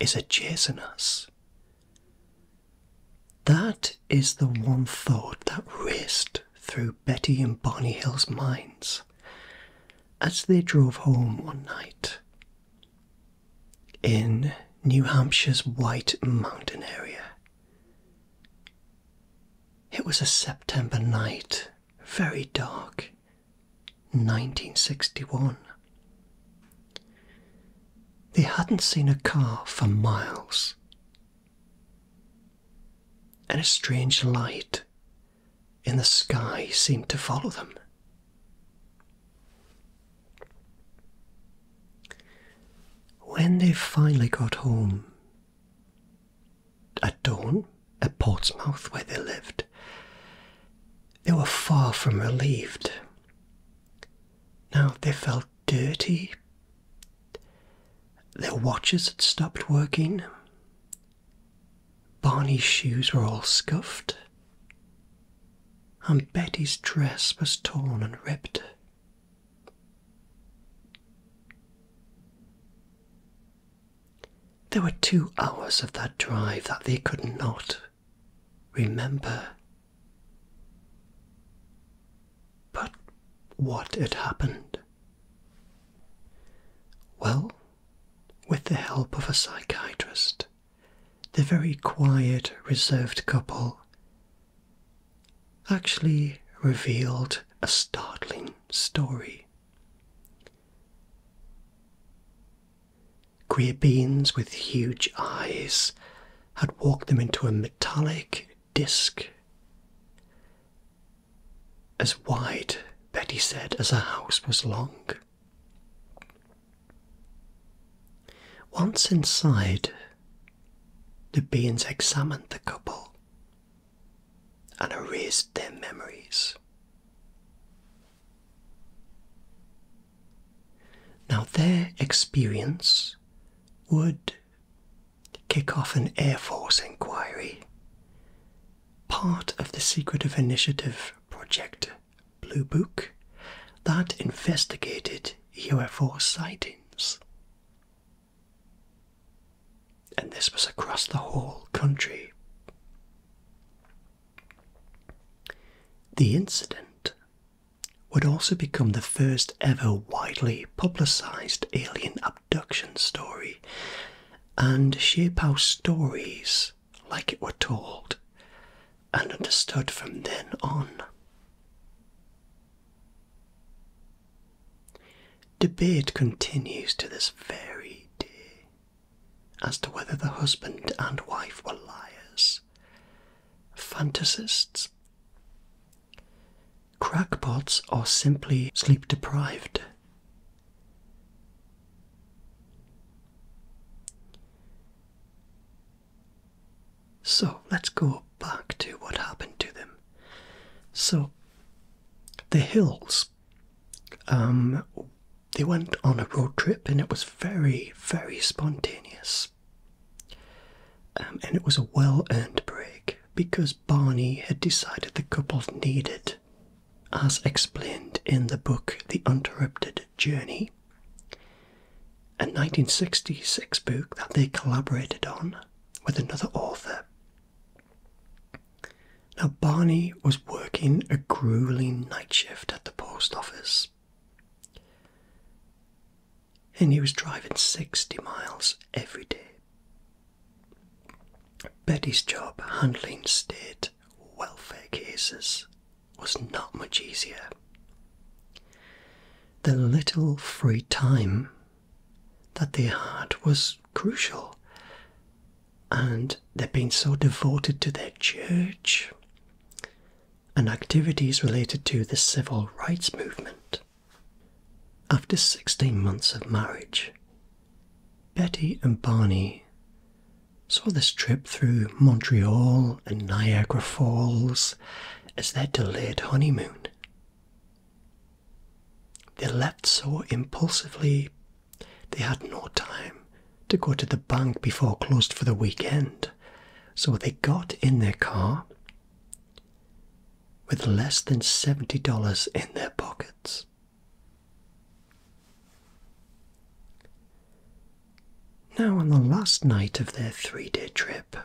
is chasing us. That is the one thought that raced through Betty and Barney Hill's minds as they drove home one night in New Hampshire's White Mountain area. It was a September night, very dark, 1961. They hadn't seen a car for miles. And a strange light in the sky seemed to follow them. When they finally got home, at dawn, at Portsmouth, where they lived, they were far from relieved. Now they felt dirty. Their watches had stopped working. Barney's shoes were all scuffed, and Betty's dress was torn and ripped. There were two hours of that drive that they could not remember. But what had happened? Well, with the help of a psychiatrist, the very quiet, reserved couple actually revealed a startling story. Queer beings with huge eyes had walked them into a metallic disc, as wide, Betty said, as her house was long. Once inside, the beings examined the couple and erased their memories. Now, their experience would kick off an Air Force inquiry, part of the Secretive Initiative Project Blue Book that investigated UFO sightings. And this was across the whole country. The incident would also become the first ever widely publicised alien abduction story, and shape how stories like it were told and understood from then on. Debate continues to this very day as to whether the husband and wife were liars, fantasists, crackpots, or simply sleep deprived. So let's go back to what happened to them. So the hills, um, they went on a road trip and it was very, very spontaneous. Um, and it was a well earned break because Barney had decided the couple needed, as explained in the book The Uninterrupted Journey, a 1966 book that they collaborated on with another author. Now, Barney was working a grueling night shift at the post office. And he was driving 60 miles every day. Betty's job handling state welfare cases was not much easier. The little free time that their heart was crucial. And they've been so devoted to their church and activities related to the civil rights movement. After 16 months of marriage, Betty and Barney saw this trip through Montreal and Niagara Falls as their delayed honeymoon. They left so impulsively they had no time to go to the bank before closed for the weekend, so they got in their car with less than $70 in their pockets. Now, on the last night of their three day trip,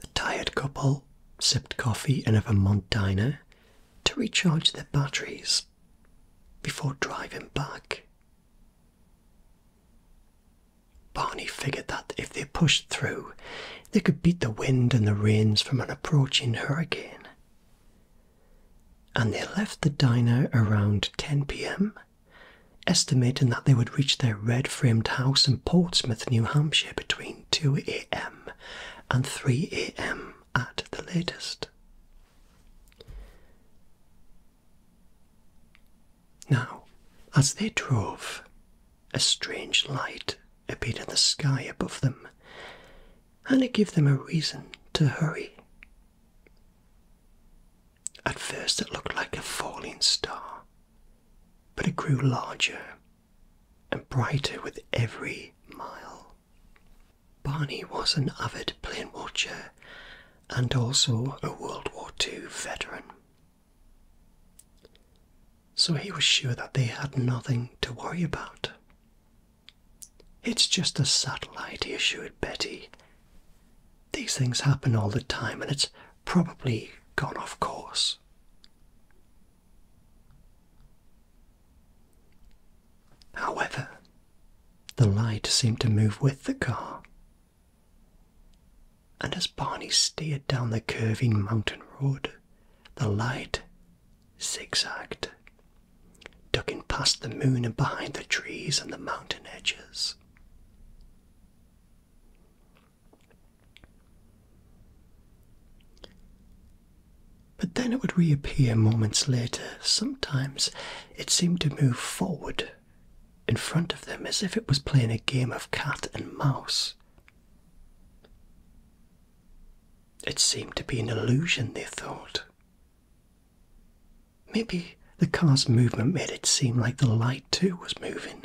the tired couple sipped coffee in a Vermont diner to recharge their batteries before driving back. Barney figured that if they pushed through, they could beat the wind and the rains from an approaching hurricane. And they left the diner around 10 pm, estimating that they would reach their red framed house in Portsmouth, New Hampshire, between. 2 a.m. and 3 a.m. at the latest. Now, as they drove, a strange light appeared in the sky above them, and it gave them a reason to hurry. At first, it looked like a falling star, but it grew larger and brighter with every mile. Barney was an avid plane watcher and also a World War II veteran. So he was sure that they had nothing to worry about. It's just a satellite, he assured Betty. These things happen all the time, and it's probably gone off course. However, the light seemed to move with the car, and as Barney steered down the curving mountain road, the light zigzagged, ducking past the moon and behind the trees and the mountain edges. But then it would reappear moments later. Sometimes it seemed to move forward in front of them as if it was playing a game of cat and mouse. It seemed to be an illusion, they thought. Maybe the car's movement made it seem like the light too was moving.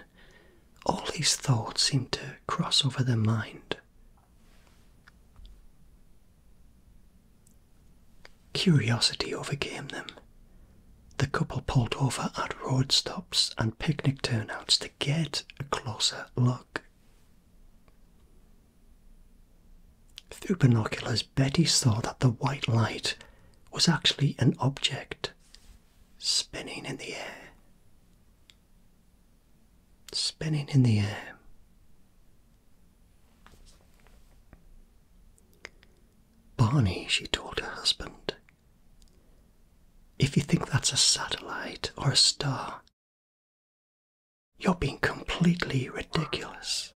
All these thoughts seemed to cross over their mind. Curiosity overcame them. The couple pulled over at road stops and picnic turnouts to get a closer look. Through binoculars, Betty saw that the white light was actually an object spinning in the air, spinning in the air. Barney, she told her husband, if you think that's a satellite or a star, you're being completely ridiculous.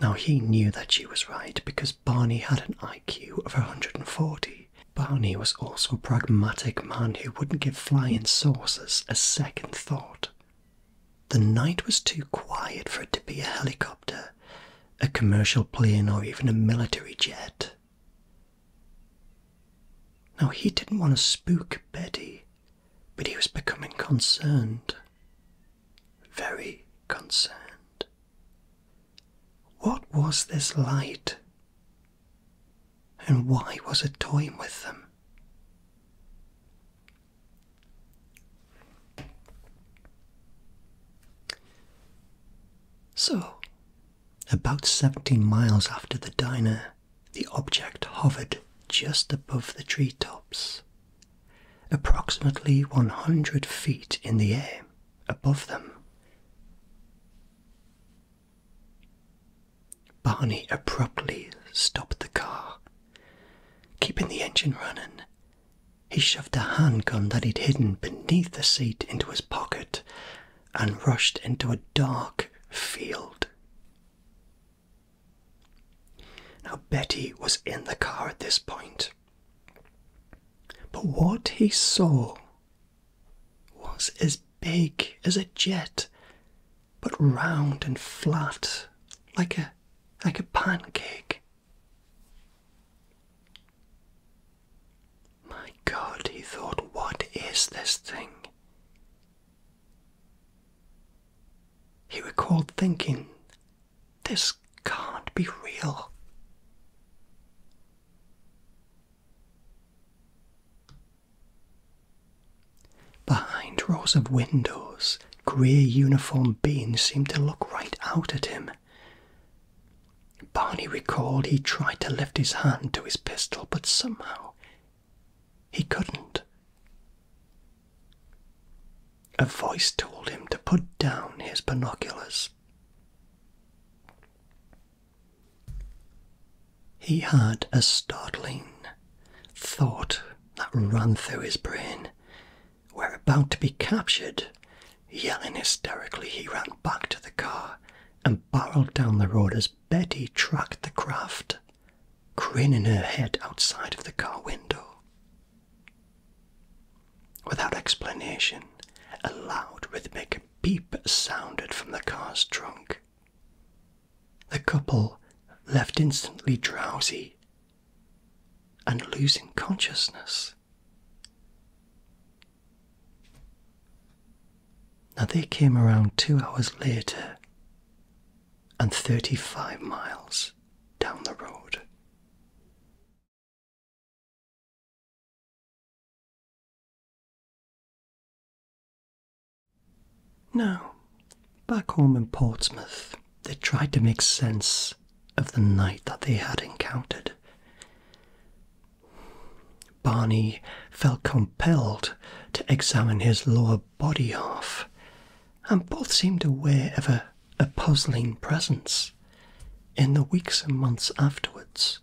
Now he knew that she was right because Barney had an IQ of 140. Barney was also a pragmatic man who wouldn't give flying saucers a second thought. The night was too quiet for it to be a helicopter, a commercial plane, or even a military jet. Now he didn't want to spook Betty, but he was becoming concerned. Very concerned. What was this light? And why was it toying with them? So, about 17 miles after the diner, the object hovered just above the treetops, approximately 100 feet in the air above them. Barney abruptly stopped the car. Keeping the engine running, he shoved a handgun that he'd hidden beneath the seat into his pocket and rushed into a dark field. Now, Betty was in the car at this point. But what he saw was as big as a jet, but round and flat, like a like a pancake. My God, he thought, what is this thing? He recalled thinking, this can't be real. Behind rows of windows, grey uniformed beings seemed to look right out at him. Barney recalled he tried to lift his hand to his pistol, but somehow he couldn't. A voice told him to put down his binoculars. He had a startling thought that ran through his brain. We're about to be captured. Yelling hysterically, he ran back to the car and barreled down the road as Betty tracked the craft, craning her head outside of the car window. Without explanation, a loud rhythmic beep sounded from the car's trunk. The couple left instantly drowsy and losing consciousness. Now they came around two hours later and 35 miles down the road. Now, back home in Portsmouth, they tried to make sense of the night that they had encountered. Barney felt compelled to examine his lower body half, and both seemed aware of a, puzzling presence. In the weeks and months afterwards,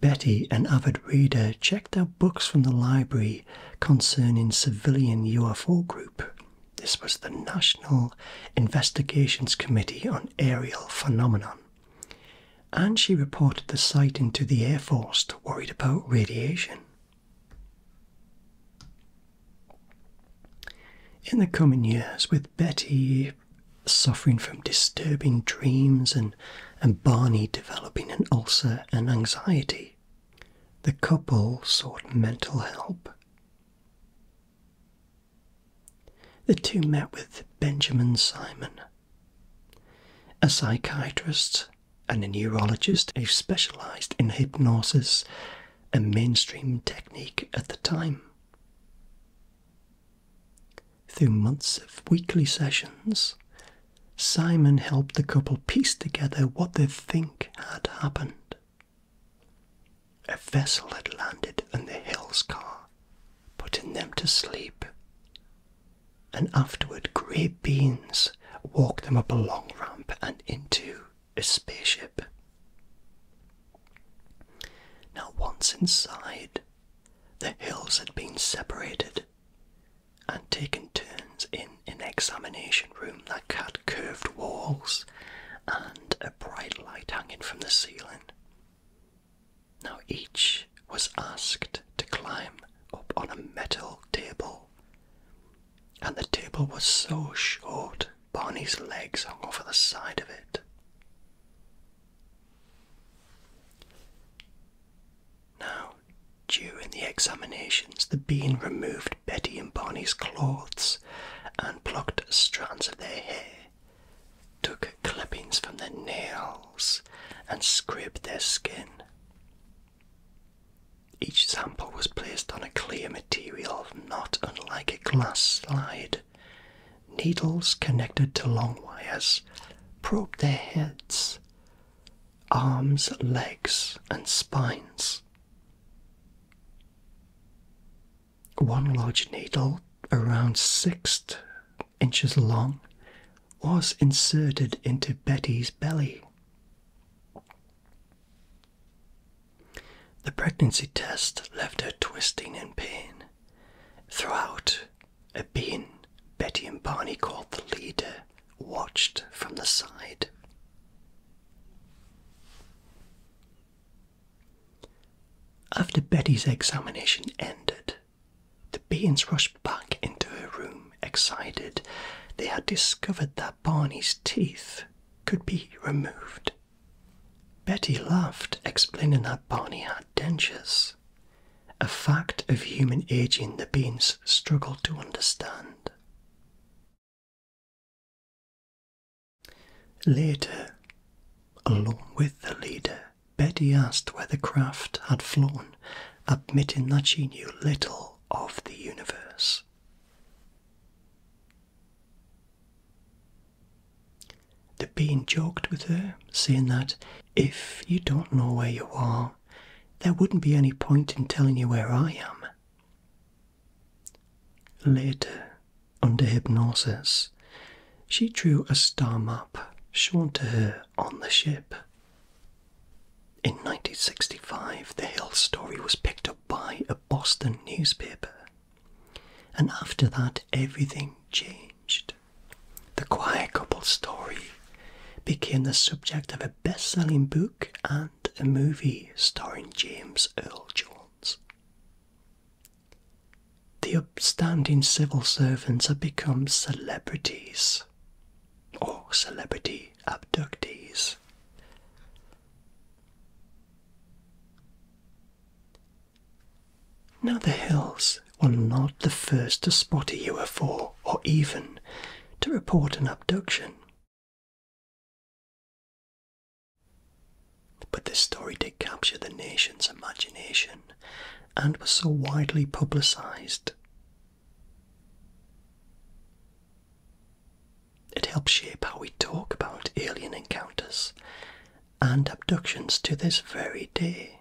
Betty, and avid reader, checked out books from the library concerning civilian UFO group. This was the National Investigations Committee on Aerial Phenomenon. And she reported the sighting to the Air Force, worried about radiation. In the coming years, with Betty suffering from disturbing dreams and, and Barney developing an ulcer and anxiety. The couple sought mental help. The two met with Benjamin Simon, a psychiatrist and a neurologist who specialised in hypnosis, a mainstream technique at the time. Through months of weekly sessions, Simon helped the couple piece together what they think had happened. A vessel had landed in the Hills car, putting them to sleep, and afterward grey beings walked them up a long ramp and into a spaceship. Now, once inside, the hills had been separated and taken turns in an examination room that had curved walls and a bright light hanging from the ceiling. Now, each was asked to climb up on a metal table, and the table was so short Barney's legs hung over the side of it. Now, during the examinations, the bean removed Betty and Barney's clothes and plucked strands of their hair, took clippings from their nails, and scraped their skin. Each sample was placed on a clear material not unlike a glass slide Needles connected to long wires probed their heads, arms, legs, and spines. One large needle, around six inches long, was inserted into Betty's belly. The pregnancy test left her twisting in pain. Throughout, a bean Betty and Barney called the leader watched from the side. After Betty's examination ended, the Beans rushed back into her room, excited. They had discovered that Barney's teeth could be removed. Betty laughed, explaining that Barney had dentures, a fact of human aging the beings struggled to understand. Later, along with the leader, Betty asked where the craft had flown, admitting that she knew little of the universe. The Bean joked with her, saying that if you don't know where you are, there wouldn't be any point in telling you where I am. Later, under hypnosis, she drew a star map shown to her on the ship. In 1965, the Hill story was picked up by a Boston newspaper and after that, everything changed. The Quiet couple's story became the subject of a best selling book and a movie starring James Earl Jones. The upstanding civil servants had become celebrities or celebrity abductees. Now the hills were not the first to spot a UFO or even to report an abduction. But this story did capture the nation's imagination and was so widely publicised. It helps shape how we talk about alien encounters and abductions to this very day.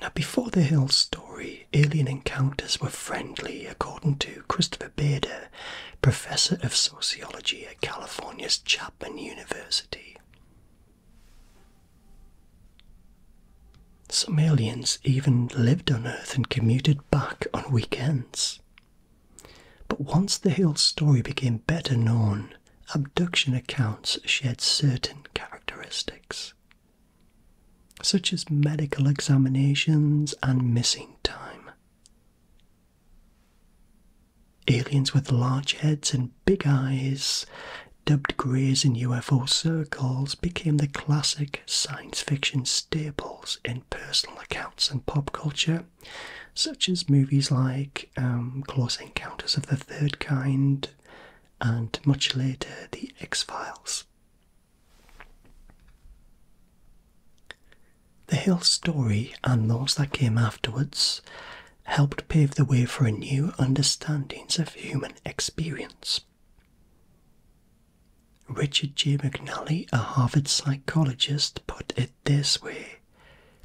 Now, before the Hill story, alien encounters were friendly, according to Christopher Bader, professor of sociology at California's Chapman University. Some aliens even lived on Earth and commuted back on weekends. But once the Hill story became better known, abduction accounts shared certain characteristics, such as medical examinations and missing time. Aliens with large heads and big eyes, dubbed greys in UFO circles, became the classic science fiction staples in personal accounts and pop culture, such as movies like um, Close Encounters of the Third Kind and much later The X Files. The Hill story and those that came afterwards helped pave the way for a new understandings of human experience. Richard J. McNally, a Harvard psychologist, put it this way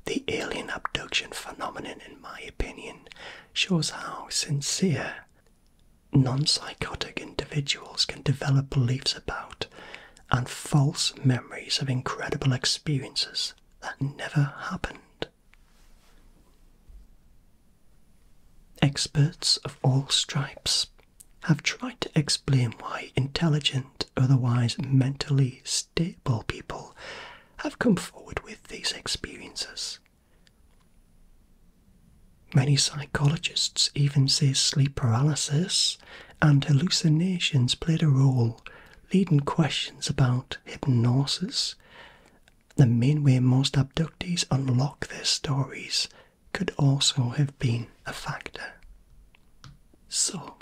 The alien abduction phenomenon, in my opinion, shows how sincere non psychotic individuals can develop beliefs about and false memories of incredible experiences that never happened. Experts of all stripes have tried to explain why intelligent, otherwise mentally stable people have come forward with these experiences. Many psychologists even say sleep paralysis and hallucinations played a role, leading questions about hypnosis. The main way most abductees unlock their stories could also have been a factor. So,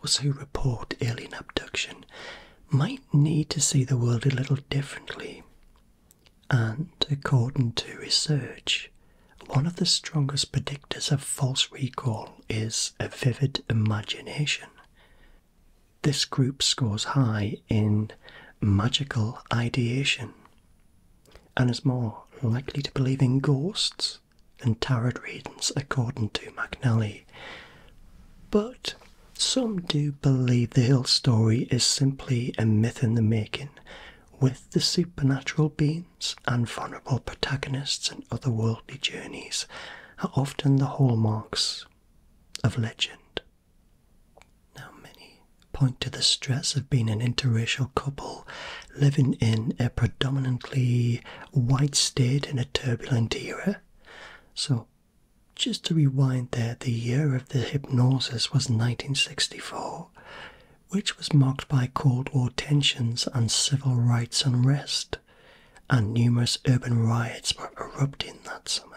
those who report alien abduction might need to see the world a little differently. And according to research, one of the strongest predictors of false recall is a vivid imagination. This group scores high in magical ideation, and is more likely to believe in ghosts than tarot readings, according to McNally. But some do believe the Hill story is simply a myth in the making, with the supernatural beings and vulnerable protagonists and otherworldly journeys are often the hallmarks of legend. Now, many point to the stress of being an interracial couple living in a predominantly white state in a turbulent era. So, just to rewind there, the year of the hypnosis was 1964, which was marked by Cold War tensions and civil rights unrest, and numerous urban riots were erupting that summer.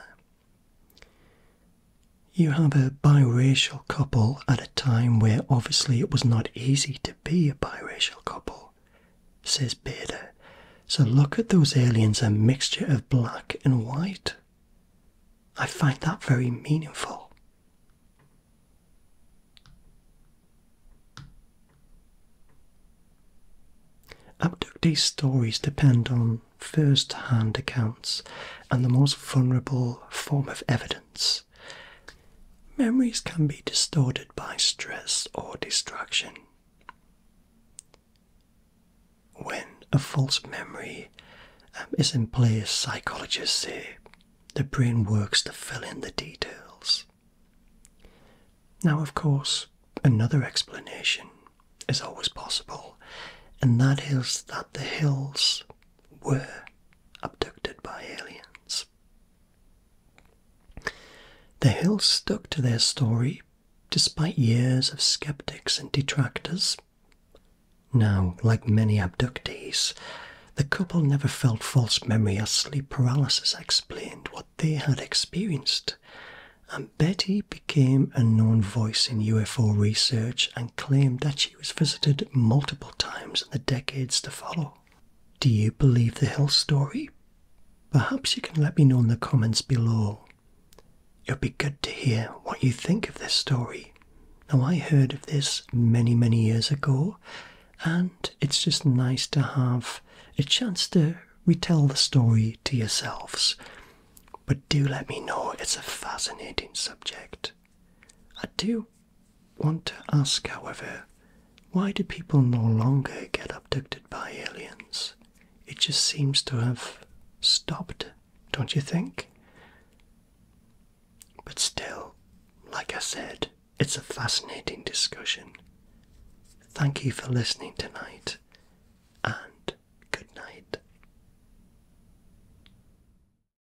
You have a a biracial couple at a time where obviously it was not easy to be a biracial couple, says Beta. So look at those aliens, a mixture of black and white. I find that very meaningful. Abductee stories depend on first hand accounts and the most vulnerable form of evidence memories. can be distorted by stress or distraction. When a false memory um, is in place, psychologists say the brain works to fill in the details. Now, of course, another explanation is always possible, and that is that the hills were abducted by aliens. The Hill stuck to their story despite years of skeptics and detractors. Now, like many abductees, the couple never felt false memory or sleep paralysis explained what they had experienced, and Betty became a known voice in UFO research and and claimed that she was visited multiple times in the decades to follow. Do you believe the hill story? Perhaps you can let me know in the comments below. It would be good to hear what you think of this story. Now, I heard of this many, many years ago, and it's just nice to have a chance to retell the story to yourselves. But do let me know, it's a fascinating subject. I do want to ask, however, why do people no longer get abducted by aliens? It just seems to have stopped, don't you think? But still, like I said, it's a fascinating discussion. Thank you for listening tonight, and good night.